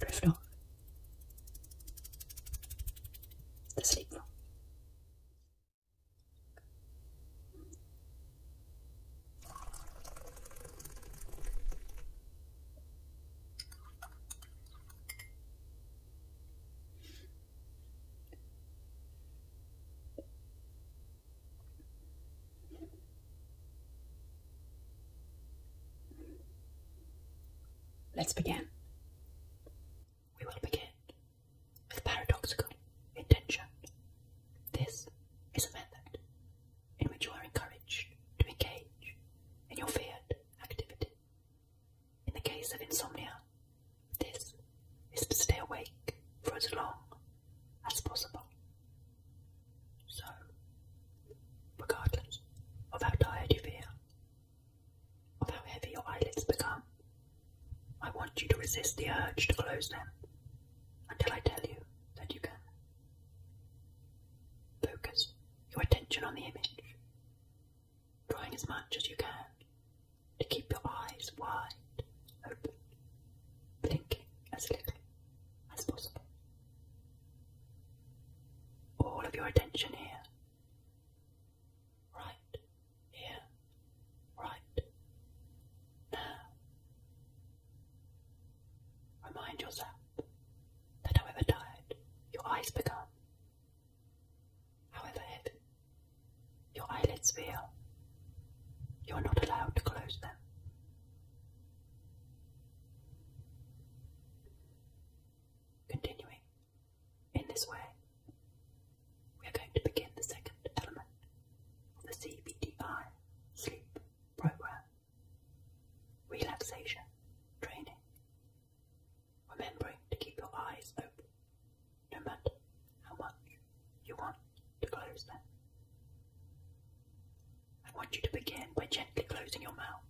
Gryffindor. The sleep Let's begin. We will begin with paradoxical intention. This is a method in which you are encouraged to engage in your feared activity. In the case of insomnia, this is to stay awake for as long as possible. So, regardless of how tired you feel, of how heavy your eyelids become, I want you to resist the urge to close them until I tell you that you can Focus your attention on the image, drawing as much as you can to keep your eyes wide open, blinking as little as possible. All of your attention here. Right here, right now. Remind yourself that however tired your eyes become, however heavy your eyelids feel, you are not allowed to close them. Continuing in this way, we are going to begin the second element of the CBTI sleep program. Relaxation training. Remembering to keep your eyes open, no matter how much you want to close them. I want you to begin by gently closing your mouth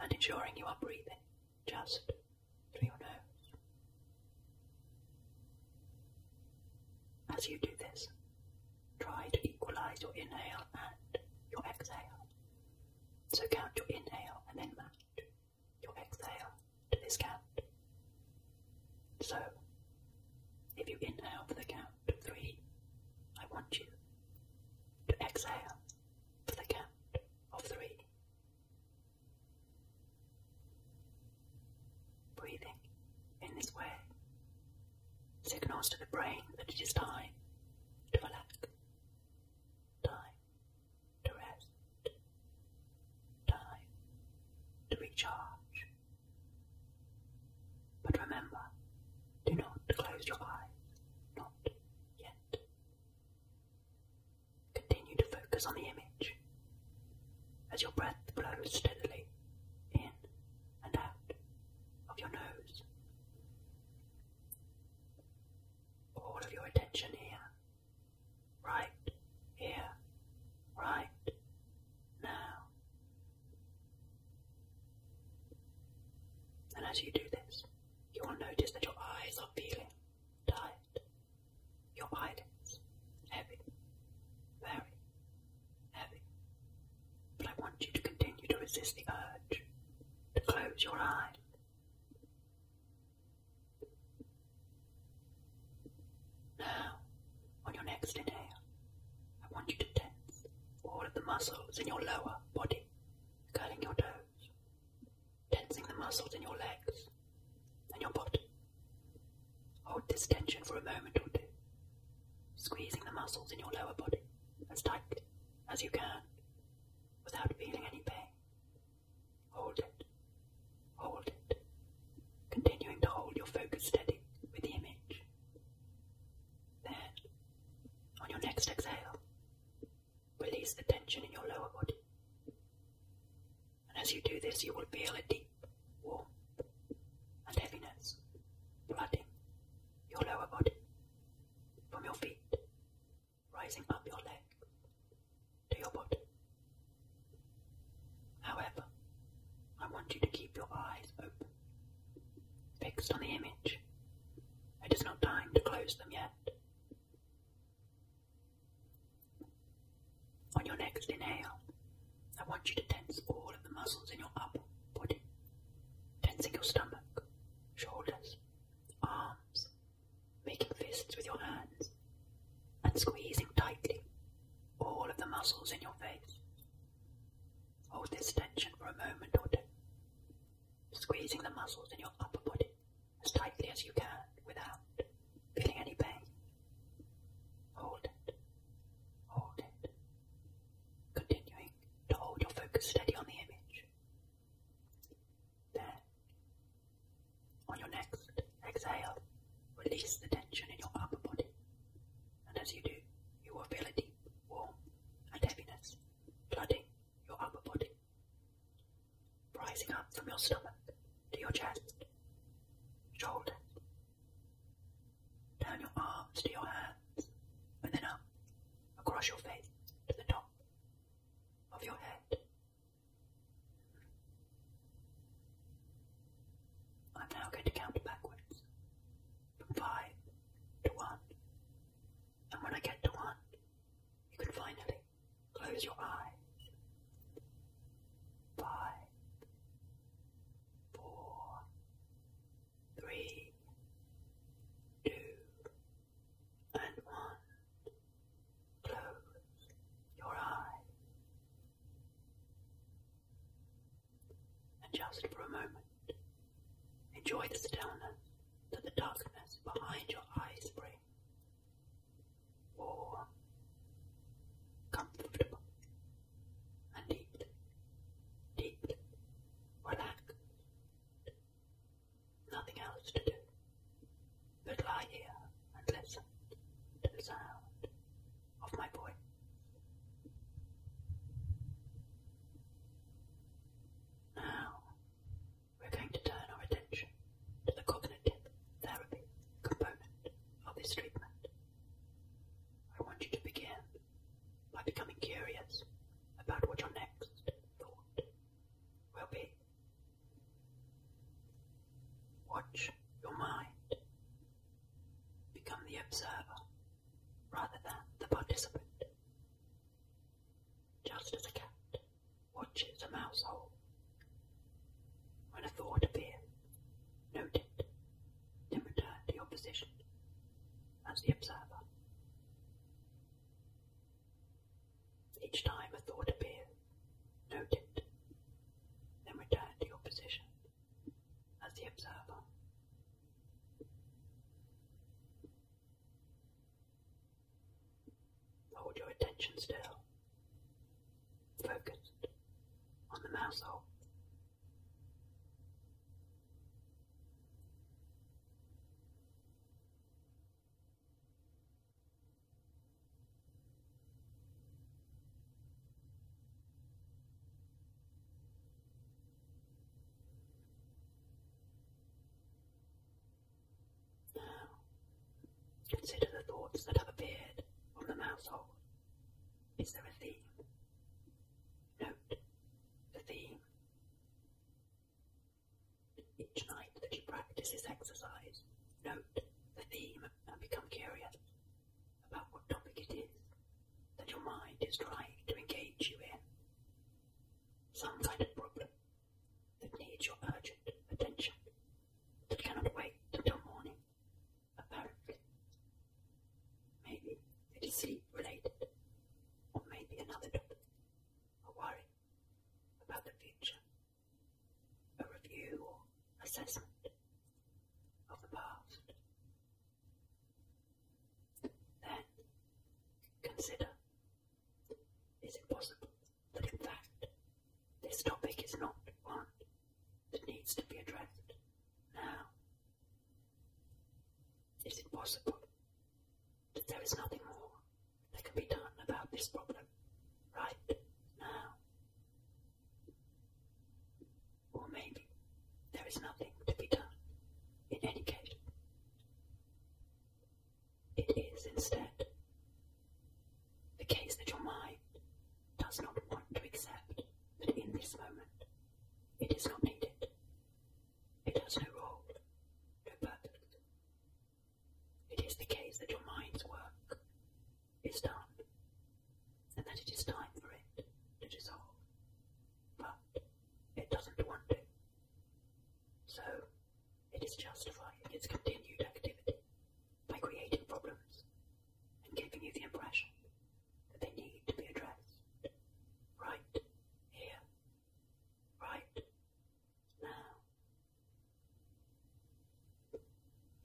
and ensuring you are breathing just through your nose. As you do this, Try to equalize your inhale and your exhale. So count your inhale and then match your exhale to this count. So, if you inhale for the count of three, I want you to exhale for the count of three. Breathing in this way signals to the brain that it is time to relax, time to rest, time to recharge. But remember, do not close your eyes, not yet. Continue to focus on the image as your breath blows steadily in and out of your nose. All of your attention here, right here, right now. And as you do this, you will notice that your eyes are feeling tight, your eyelids heavy, very heavy. But I want you to continue to resist the urge to close your eyes. Now, on your next inhale, I want you to tense all of the muscles in your lower body, curling your toes, tensing the muscles in your legs and your body. Hold this tension for a moment or two, squeezing the muscles in your lower body as tight as you can without feeling any pain. Hold it. Hold it. Continuing to hold your focus steady with the image. Then, on your next exhale, release the tension in your lower body. And as you do this, you will feel a deep warmth and heaviness flooding your lower body, from your feet, rising up your legs to your butt. However, I want you to keep your eyes open, fixed on the image. It is not time to close them yet. On your next inhale, I want you to tense all of the muscles in your upper body, tensing your stomach, shoulders, arms, making fists with your hands, and squeezing tightly all of the muscles in your face. Hold this tension for a moment or two, squeezing the muscles in your upper body as tightly as you can without feeling any pain. Hold it, hold it, Continuing to hold your focus steady on the image. There. On your next exhale, release the tension in your upper body. And as you do, you will feel a deep warmth and heaviness flooding your upper body, rising up from your stomach to your chest, shoulders, Turn your arms to your hands, and then up, across your face to the top of your head. I'm now going to count backwards from five to one, and when I get to one, you can finally close your eyes. Five, four, three, two, and one. Close your eyes. And just for a moment, enjoy the stillness that the darkness behind your eyes brings. Warm, comfortable, and deeply deeply relaxed. Nothing else to do but lie here and listen to the sound of my voice. Now, we're going to turn our attention to the cognitive therapy component of this treatment. I want you to begin by becoming curious about what your next thought will be. Watch your mind. Become the observer rather than the participant. Just as a cat watches a mouse hole. When a thought appears, note it, then return to your position as the observer. Each time a thought appears, note it, then return to your position as the observer. Hold your attention still, focused on the mouse hole now, consider the thoughts that have appeared on the mouse Is there a theme? Note the theme. Each night that you practice this exercise, note the theme and become curious about what topic it is that your mind is trying to engage you in. Some kind of problem that needs your urgent attention, that cannot wait until morning. Apparently. Maybe it is sleep related, or maybe another topic. A worry about the future. A review or assessment of the past. Then consider is it possible that in fact this topic is not one that needs to be addressed now is it possible that there is nothing more that can be done about this problem right now? Or maybe there is nothing to be done in any case. It is instead the case that your mind does not want to accept that in this moment it is not needed. It has no role, no purpose. It is the case that your mind's work is done, and that it is time for it to dissolve. But it doesn't want to. So it is justifying its continued activity by creating problems and giving you the impression that they need to be addressed right here, right now.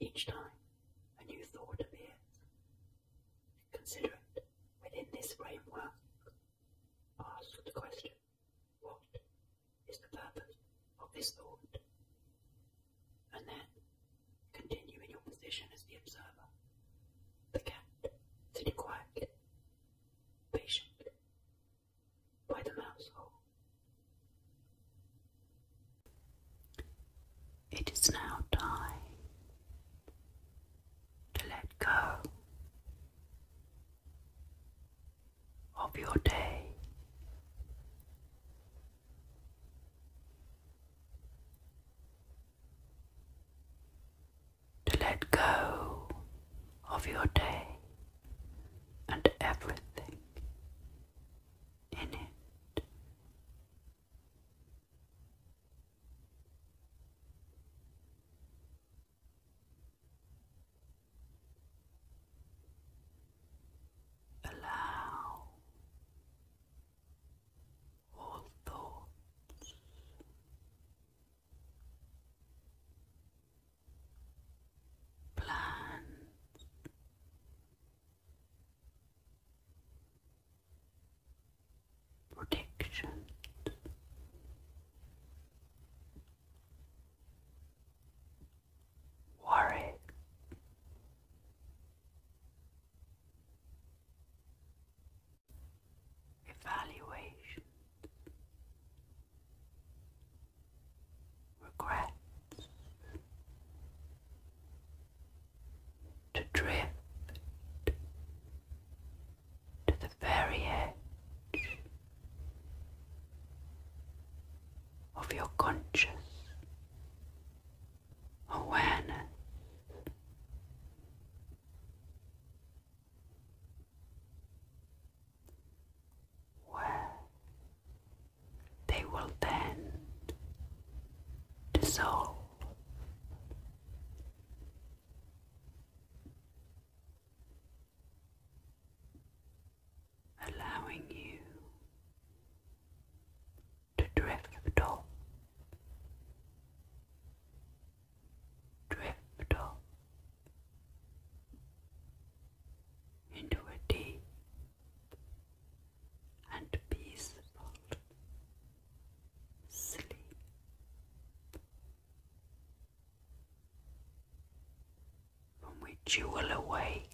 Each time a new thought appears, consider it within this framework. Ask the question what is the purpose of this thought? And then Continue in your position as the observer. The cat, sitting quietly, patient, by the mouse hole. It is now time to let go of your day to let go of your day and everything in it. Allow all thoughts. Plans, predictions, worry, evaluation, regrets, to drift to the very edge of your conscious awareness. Where they will then dissolve. Allowing you to drift off, drift off into a deep and peaceful sleep. From which you will awake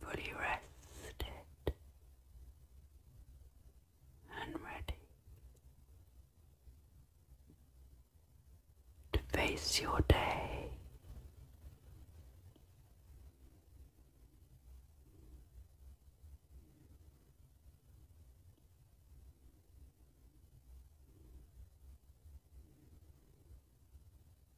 fully rested and ready to face your day.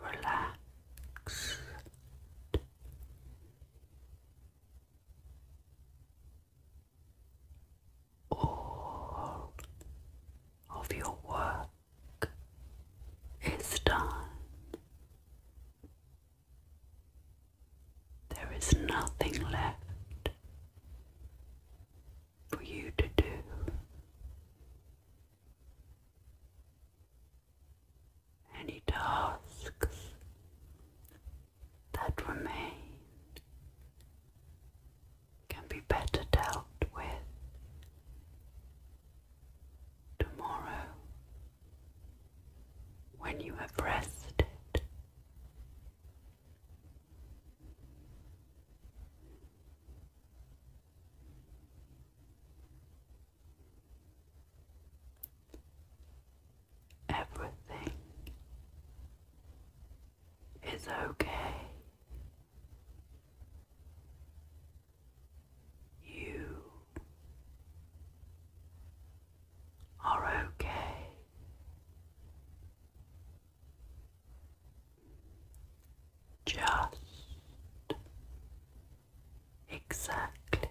Relax. All of your work is done. There is nothing left for you to do. Any tasks that remain can be better dealt with tomorrow when you have rested Everything is okay. You are okay. Just exactly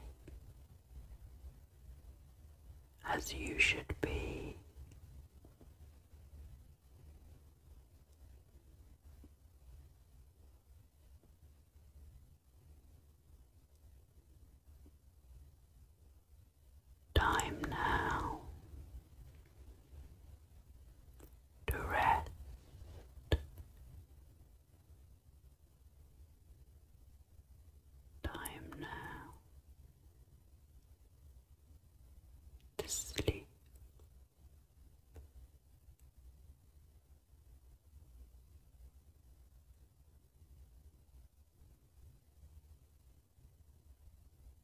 as you should be. Time now the rest. Time now to sleep.